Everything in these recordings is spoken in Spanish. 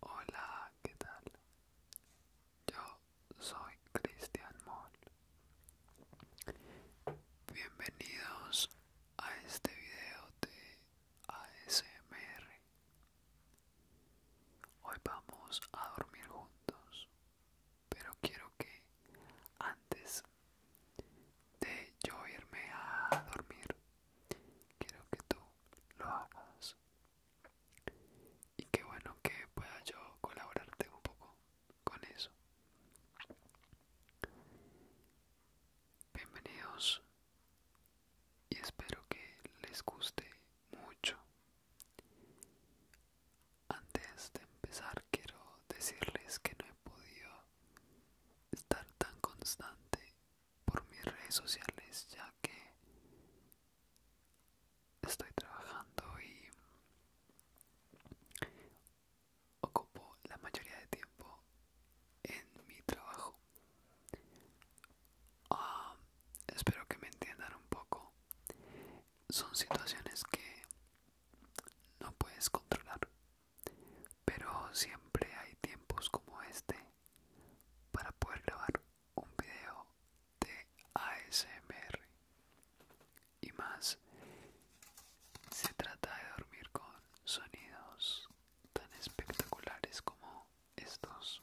Hola, ¿qué tal? Yo soy Cristian Moll. Bienvenidos a este video de ASMR. Hoy vamos a dormir juntos pero quiero que antes de yo irme a dormir quiero que tú lo hagas y qué bueno que pueda yo colaborarte un poco con eso bienvenidos y espero que les guste mucho antes de empezar quiero decirles que no he podido estar tan constante por mis redes sociales ya que estoy trabajando y ocupo la mayoría de tiempo en mi trabajo. Ah, espero que me entiendan un poco son situaciones que no puedes controlar, pero siempre hay tiempos como este para poder grabar un video de ASMR y más se trata de dormir con sonidos tan espectaculares como estos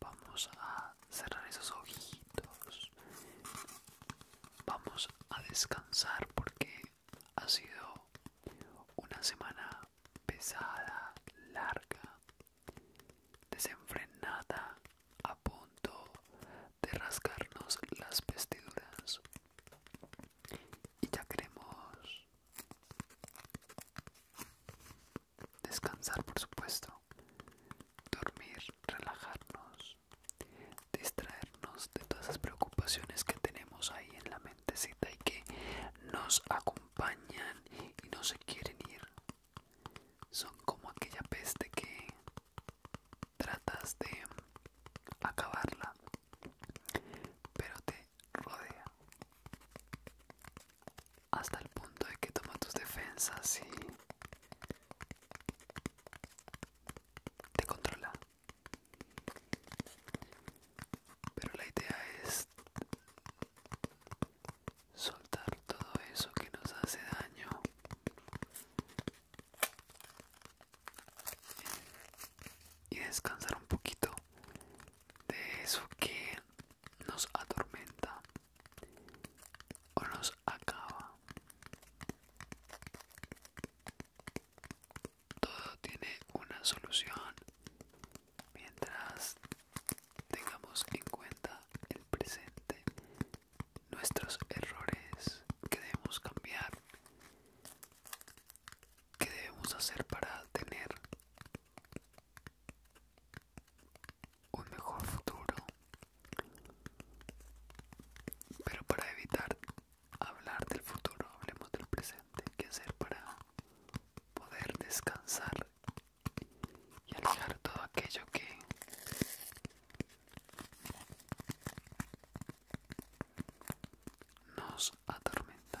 Vamos a cerrar esos ojitos. Vamos a descansar porque ha sido una semana pesada, larga, desenfrenada, punto de rasgarnos las vestiduras y ya queremos descansar por supuesto dormir relajarnos distraernos de todas esas preocupaciones que tenemos ahí en la mentecita y que nos acompañan y no se quieren ir son como aquella peste que tratas de acabarla, pero te rodea hasta el punto de que toma tus defensas y te controla. Pero la idea es soltar todo eso que nos hace daño y descansar un poquito de eso que nos atormenta o nos acaba. Todo tiene una solución mientras tengamos en cuenta el presente nuestros errores que debemos cambiar, que debemos hacer para tener un mejor futuro. Pero para evitar hablar del futuro, hablemos del presente, Que hacer para poder descansar y alejar todo aquello que nos atormenta.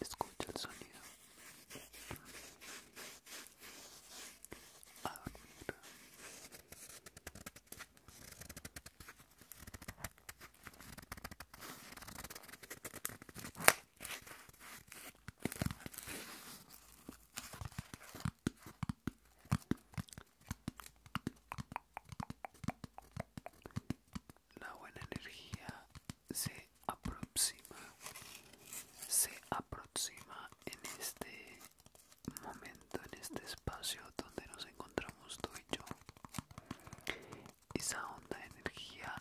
Escucha el sonido. Ah, la buena energía se aproxima, se aproxima en este momento, en este espacio donde nos encontramos tú y yo. Esa onda de energía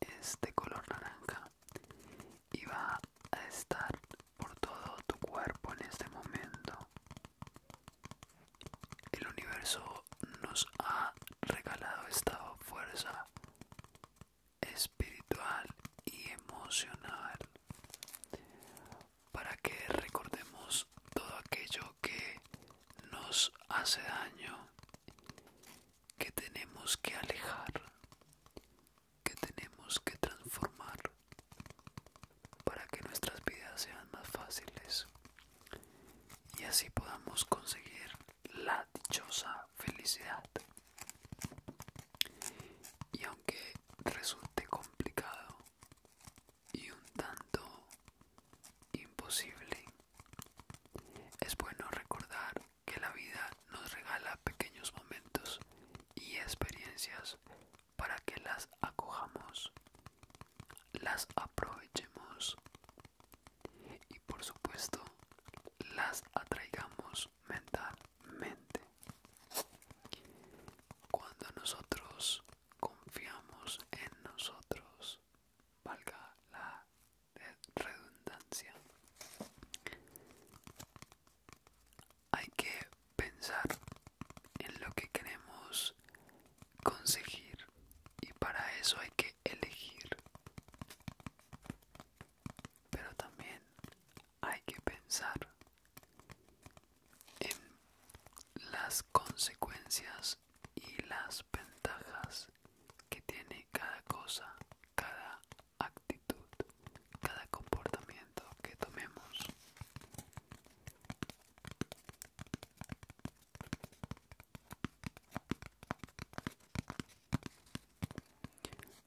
es de color naranja y va a estar por todo tu cuerpo en este momento. El universo nos ha regalado esta fuerza espiritual y emocional para que recordemos todo aquello que nos hace daño, que tenemos que alejar, que tenemos que transformar para que nuestras vidas sean más fáciles y así podamos conseguir la dichosa felicidad. Y aunque resulte complicado, y un tanto imposible. Es bueno recordar que la vida nos regala pequeños momentos y experiencias para que las acojamos, las aprovechemos y por supuesto las atraigamos mentalmente. Cuando nosotros confiamos en nosotros, valga la redundancia. Hay que pensar en lo que queremos conseguir y para eso hay que elegir. Pero también hay que pensar en las consecuencias y las ventajas que tiene cada cosa, cada actitud, cada comportamiento que tomemos.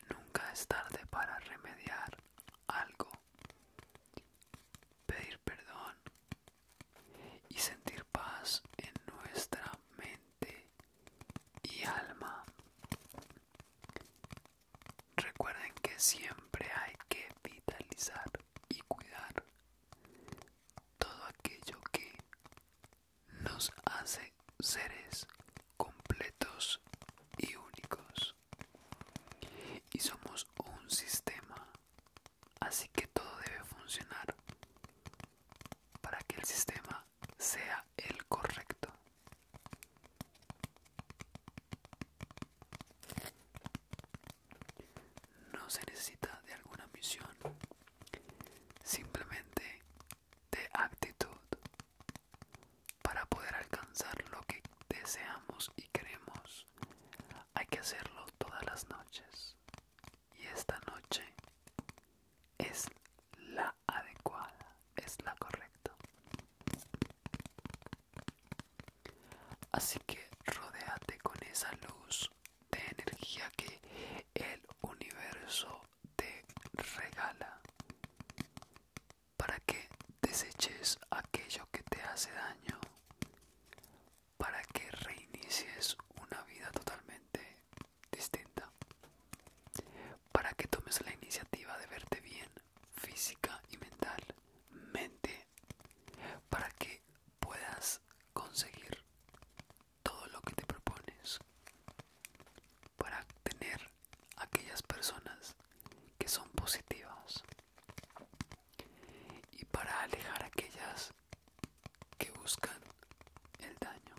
Nunca es tarde para remediar algo pedir perdón y sentir paz en nuestra mente y alma. Recuerden que siempre hay que vitalizar y cuidar todo aquello que nos hace seres completos y únicos. Y somos un sistema Así que todo debe funcionar para que el sistema sea el correcto. No se necesita de alguna misión, simplemente de actitud para poder alcanzar lo que deseamos y queremos. Hay que hacerlo todas las noches. Y esta noche es la adecuada, es la correcta. Así que rodéate con esa luz de energía que el universo te regala para que deseches aquello que te hace daño para que reinicies una vida totalmente distinta, para que tomes la iniciativa de verte bien física y mentalmente, para que puedas conseguir todo lo que te propones, para tener aquellas personas que son positivas y para alejar a aquellas que buscan el daño.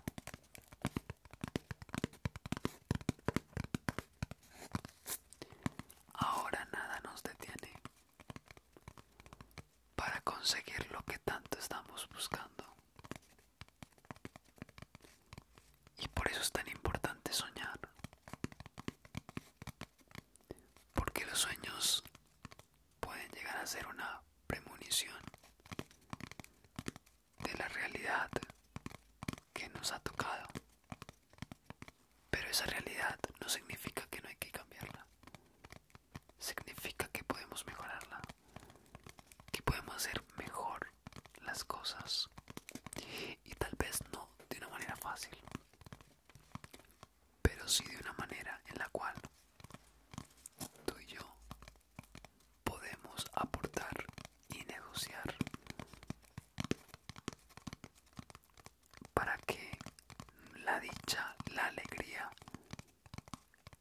Ahora nada nos detiene para conseguir lo que tanto estamos buscando. Y por eso es tan importante soñar porque los sueños pueden llegar a ser una premonición de la realidad que nos ha tocado. Pero esa realidad no significa que no hay que cambiarla. Significa que podemos mejorarla, que podemos hacer mejor las cosas. Y tal vez no de una manera fácil, pero sí de una manera en la cual tú y yo podemos aportar y negociar para que la dicha, la alegría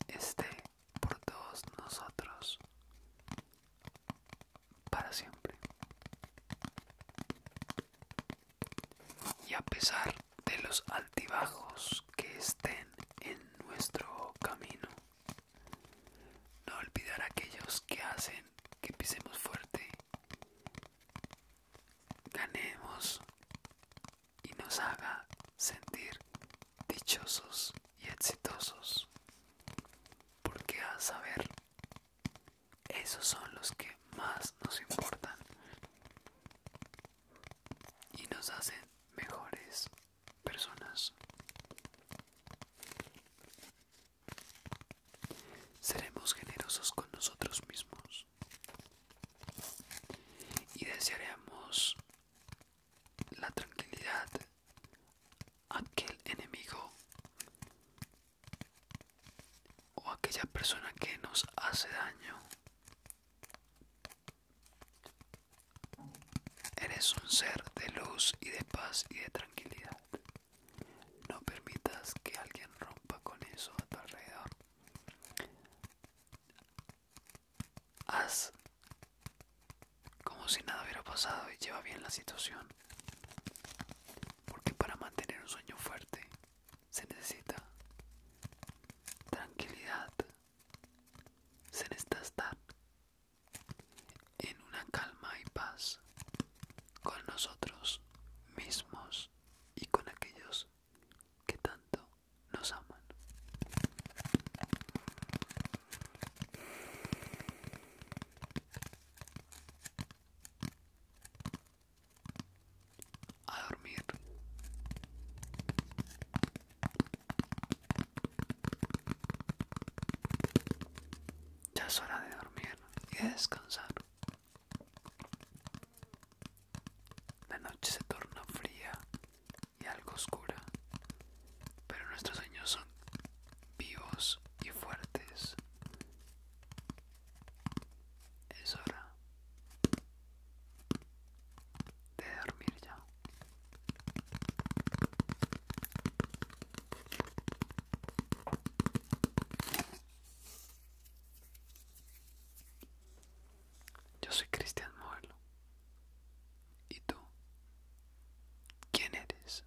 esté por todos nosotros para siempre y a pesar de los altibajos que estén en nuestro camino. No olvidar aquellos que hacen que pisemos fuerte, ganemos y nos haga sentir dichosos y exitosos, porque a saber esos son los que más nos importan y nos hacen mejores personas. Seremos generosos con nosotros mismos y desearemos la tranquilidad a aquel enemigo o aquella persona que nos hace daño. Eres un ser de luz y de paz y de tranquilidad. No permitas que alguien rompa con eso a tu alrededor. Haz como si nada hubiera pasado y lleva bien la situación. Porque para mantener un sueño fuerte se necesita tranquilidad, se necesita estar en una calma y paz con nosotros mismos y con aquellos que tanto nos aman a dormir. Ya es hora de dormir y de descansar. La noche se torna fría y algo oscura, pero nuestros sueños son vivos y fuertes. Es hora de dormir ya. Yo soy Cristian Moelo. ¿Y tú? ¿Quién eres?